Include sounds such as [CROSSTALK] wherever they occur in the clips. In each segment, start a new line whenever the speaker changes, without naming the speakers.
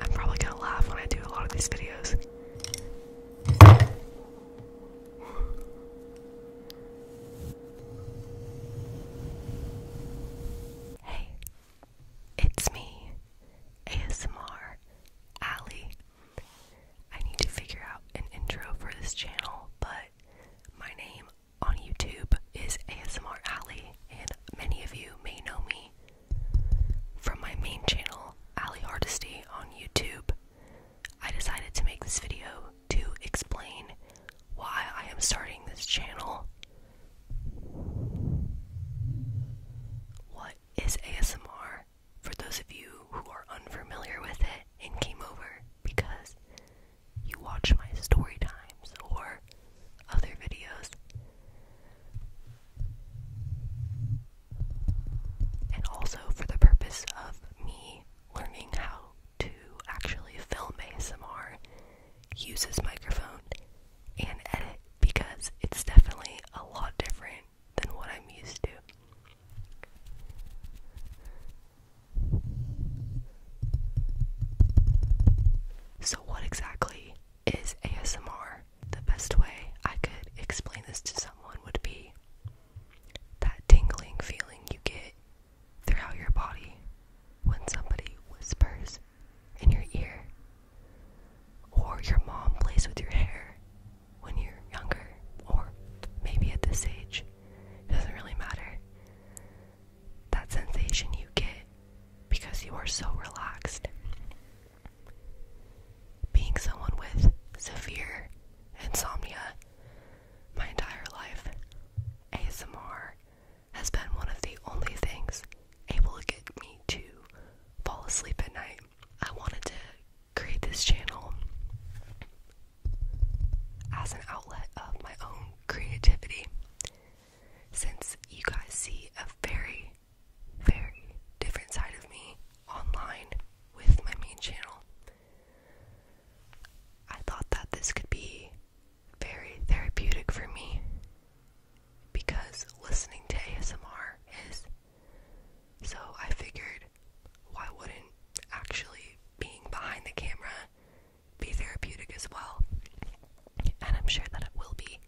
I'm probably gonna laugh when I do a lot of these videos. Hey, it's me, ASMR Allie. I need to figure out an intro for this channel, but my name on YouTube is ASMR Allie, and many of you may know me from my main channel, Ali Hardesty on YouTube, I decided to make this video to explain why I am starting this channel. What is ASMR? For those of you who are unfamiliar with it and came over because you watch my story times or other videos, and also for the purpose of me learning how to actually film ASMR, use this microphone, and edit because it's definitely a lot different than what I'm used to. So, what exactly is ASMR? the best way I could explain this to someone would be that tingling feeling you get throughout your body when somebody whispers in your ear, or your mom plays with your hair when you're younger, or maybe at this age. It doesn't really matter. That sensation you get because you are so relaxed being someone with severe insomnia my entire life, ASMR has been one of the only things able to get me to fall asleep at night. I wanted to create this channel as an outlet of my own creativity. Since you guys see a very very different side of me online with my main channel. I thought that this could be very therapeutic for me because listening to ASMR is. So I figured why wouldn't actually being behind the camera be therapeutic as well? And I'm sure that it will be.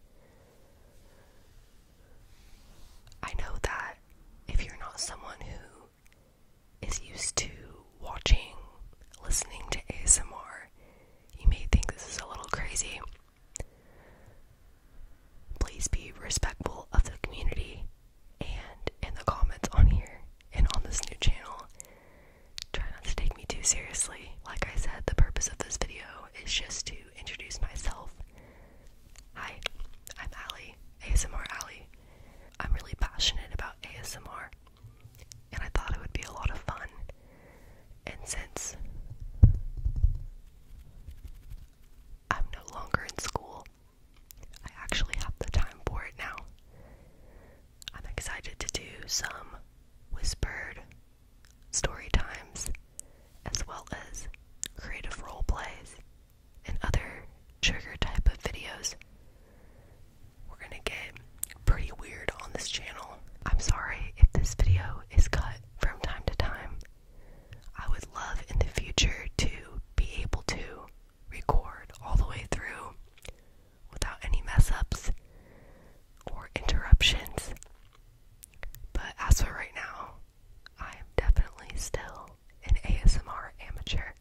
I know that if you're not someone who is used to watching, listening to ASMR, you may think this is a little crazy. Please be respectful of the community and in the comments on here and on this new channel. Try not to take me too seriously. Like I said, the purpose of this video is just to introduce myself. Hi, I'm Allie, ASMR Allie. I'm really passionate about ASMR, and I thought it would be a lot of fun. And since I'm no longer in school, I actually have the time for it now. I'm excited to do some whispered story times, as well as creative role plays and other trigger type of videos. We're gonna get pretty weird on this channel. I'm sorry if this video is cut from time to time. I would love in the future to be able to record all the way through without any mess ups or interruptions. But as for right now, I am definitely still an ASMR amateur.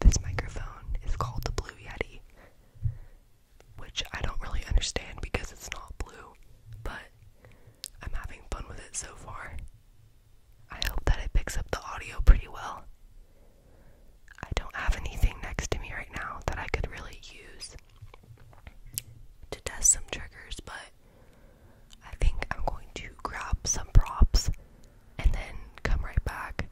This microphone is called the Blue Yeti, which I don't really understand because it's not blue, but I'm having fun with it so far. I hope that it picks up the audio pretty well. I don't have anything next to me right now that I could really use to test some triggers, but I think I'm going to grab some props and then come right back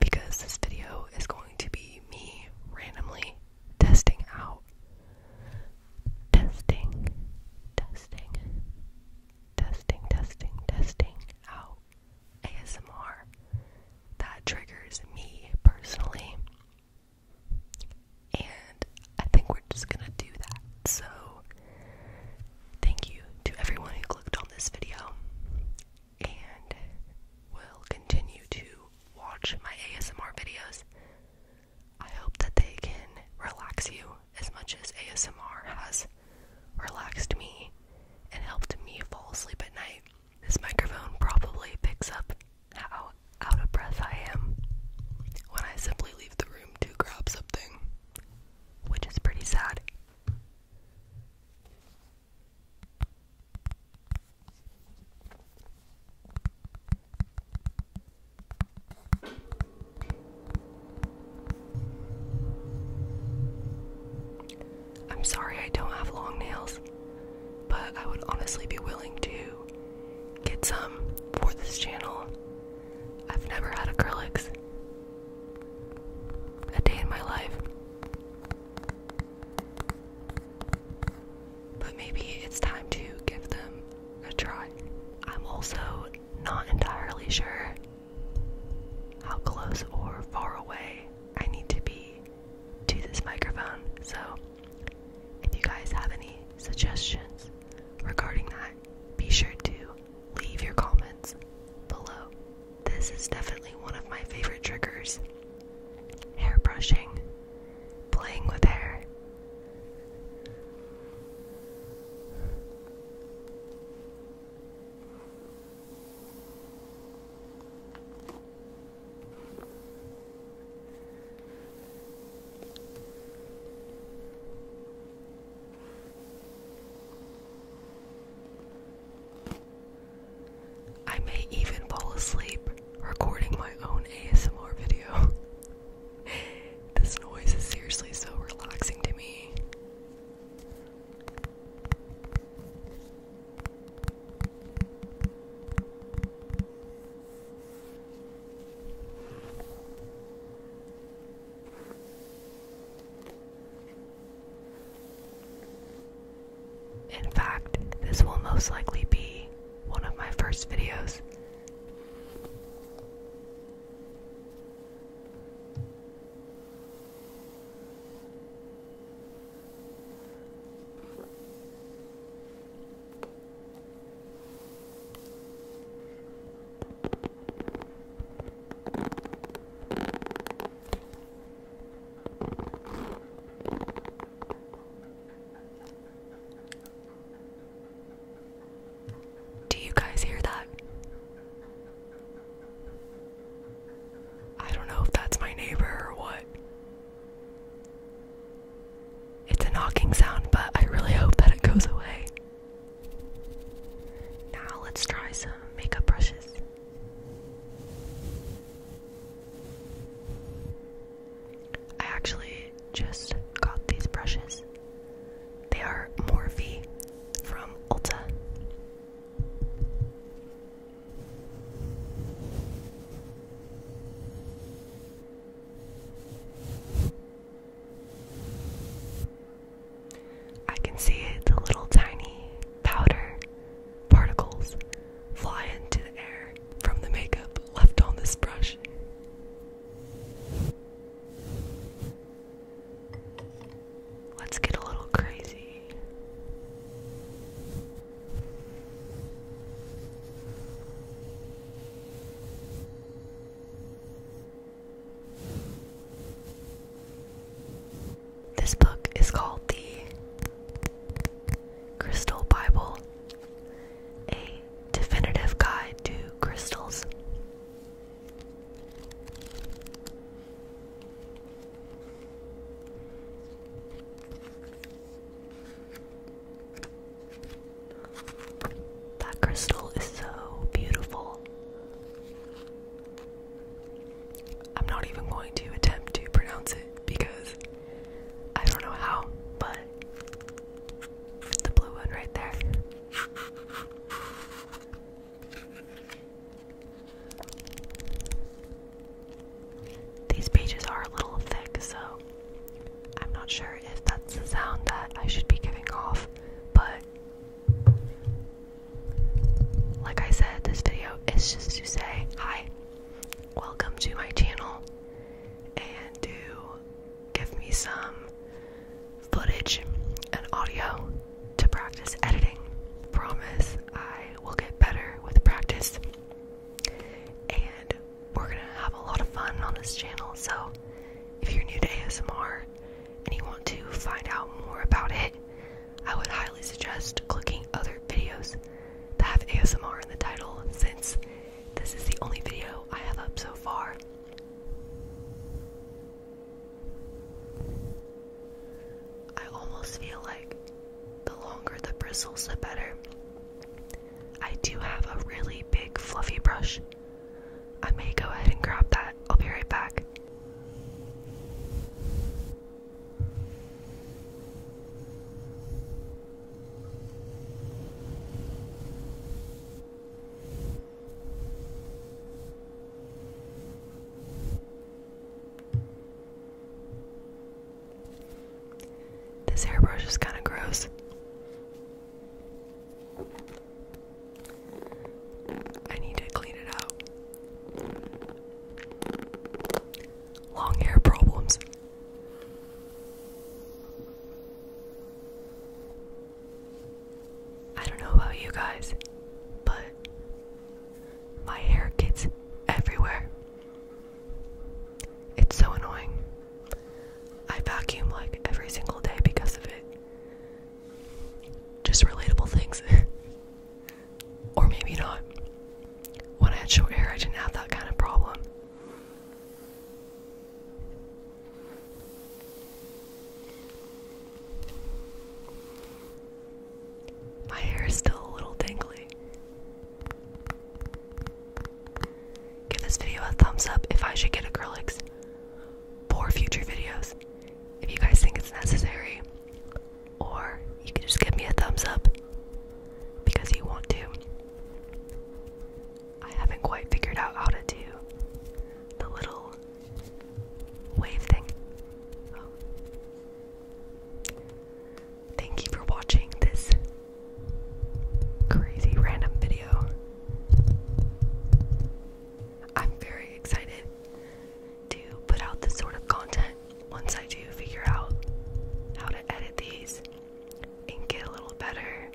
because this video is going to be me randomly testing out. Testing, testing, testing, testing, testing out ASMR that triggers me personally. And I think we're just gonna do that. So, thank you to everyone who clicked on this video and will continue to watch my ASMR videos. I hope that they can relax you as much as ASMR has relaxed me, and helped me fall asleep at night. This microphone probably picks up how out of breath I am when I simply leave the room to grab something, which is pretty sad. I'm sorry I don't have long nails, but I would honestly be willing to get some for this channel. I've never had acrylics a day in my life. But maybe it's time to give them a try. I'm also not entirely sure how close or far away I need to be to this microphone. So, if you guys have any suggestions regarding that, be sure to leave your comments below. This is definitely one of my favorite triggers hair brushing, playing with hair. I may even fall asleep recording my own ASMR video. [LAUGHS] this noise is seriously so relaxing to me. In fact, this will most likely be one of my first videos. Do you guys hear that? I don't know if that's my neighbor or what. It's a knocking sound, but I really hope that it goes away. Now let's try some makeup brushes. I actually just got these brushes. They are Morphe from Ulta. I can see the little tiny powder particles fly into the air from the makeup left on this brush. Let's get a little crazy. This book is called The Crystal Bible, a definitive guide to crystals. That crystal is so beautiful. I'm not even going to attempt to pronounce it because I don't know how, but the blue one right there. These pages are a little thick, so I'm not sure if that's the sound that I should be giving off, but like I said, this video is just to say hi, welcome to my channel, and to give me some footage and audio to practice editing. Promise I will get better with practice. And we're gonna have a lot of fun on this channel. So if you're new to ASMR and you want to find out more about it, I would highly suggest clicking other videos that have ASMR in the title since this is the only video I have up so far. I almost feel like the longer the bristles, the better. I do have a really big fluffy brush. I may go ahead and grab that. I'll be right back. This hairbrush is kind of gross. I need to clean it out. Long hair problems. I don't know about you guys, but my hair gets everywhere. It's so annoying. I vacuum like every single day because of it. Just relatable things. [LAUGHS] or maybe not. When I had short hair, I didn't have that kind of problem. My hair is still a little tangly. Give this video a thumbs up if I should get acrylics for future videos. If you guys think it's necessary, or you can just give me a thumbs up because you want to. I haven't quite figured out how to do the little wave thing. Oh. Thank you for watching this crazy random video. I'm very excited to put out this sort of content once I do figure out how to edit these and get a little better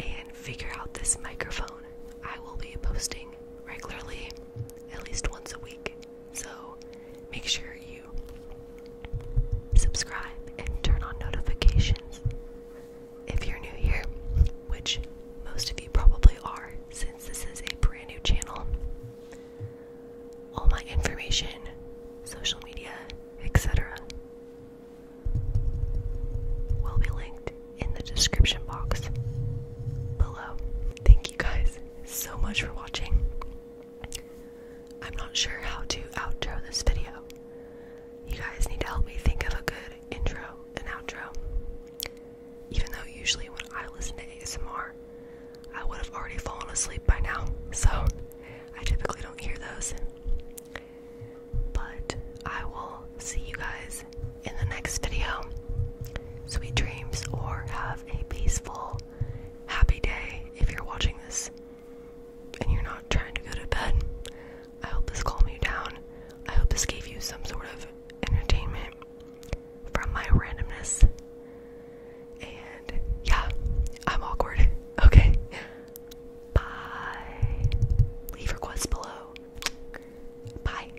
and figure out this microphone. I will be posting regularly, at least once a week. So make sure you subscribe and turn on notifications. If you're new here, which most of you probably are, since this is a brand new channel, all my information, social media, etc., will be linked in the description box below. Thank you guys so much for watching. I'm not sure how to outro this video. You guys need to help me think of a good intro and outro. Even though usually when I listen to ASMR, I would have already fallen asleep by now, so I typically don't hear those. But I will see you guys in the next video. Sweet dreams, or have a peaceful, happy day if you're watching this and you're not trying to go to bed. I hope this calmed you down. I hope this gave you some sort of entertainment from my randomness. And yeah, I'm awkward. [LAUGHS] Okay. Bye. Leave requests below. Bye.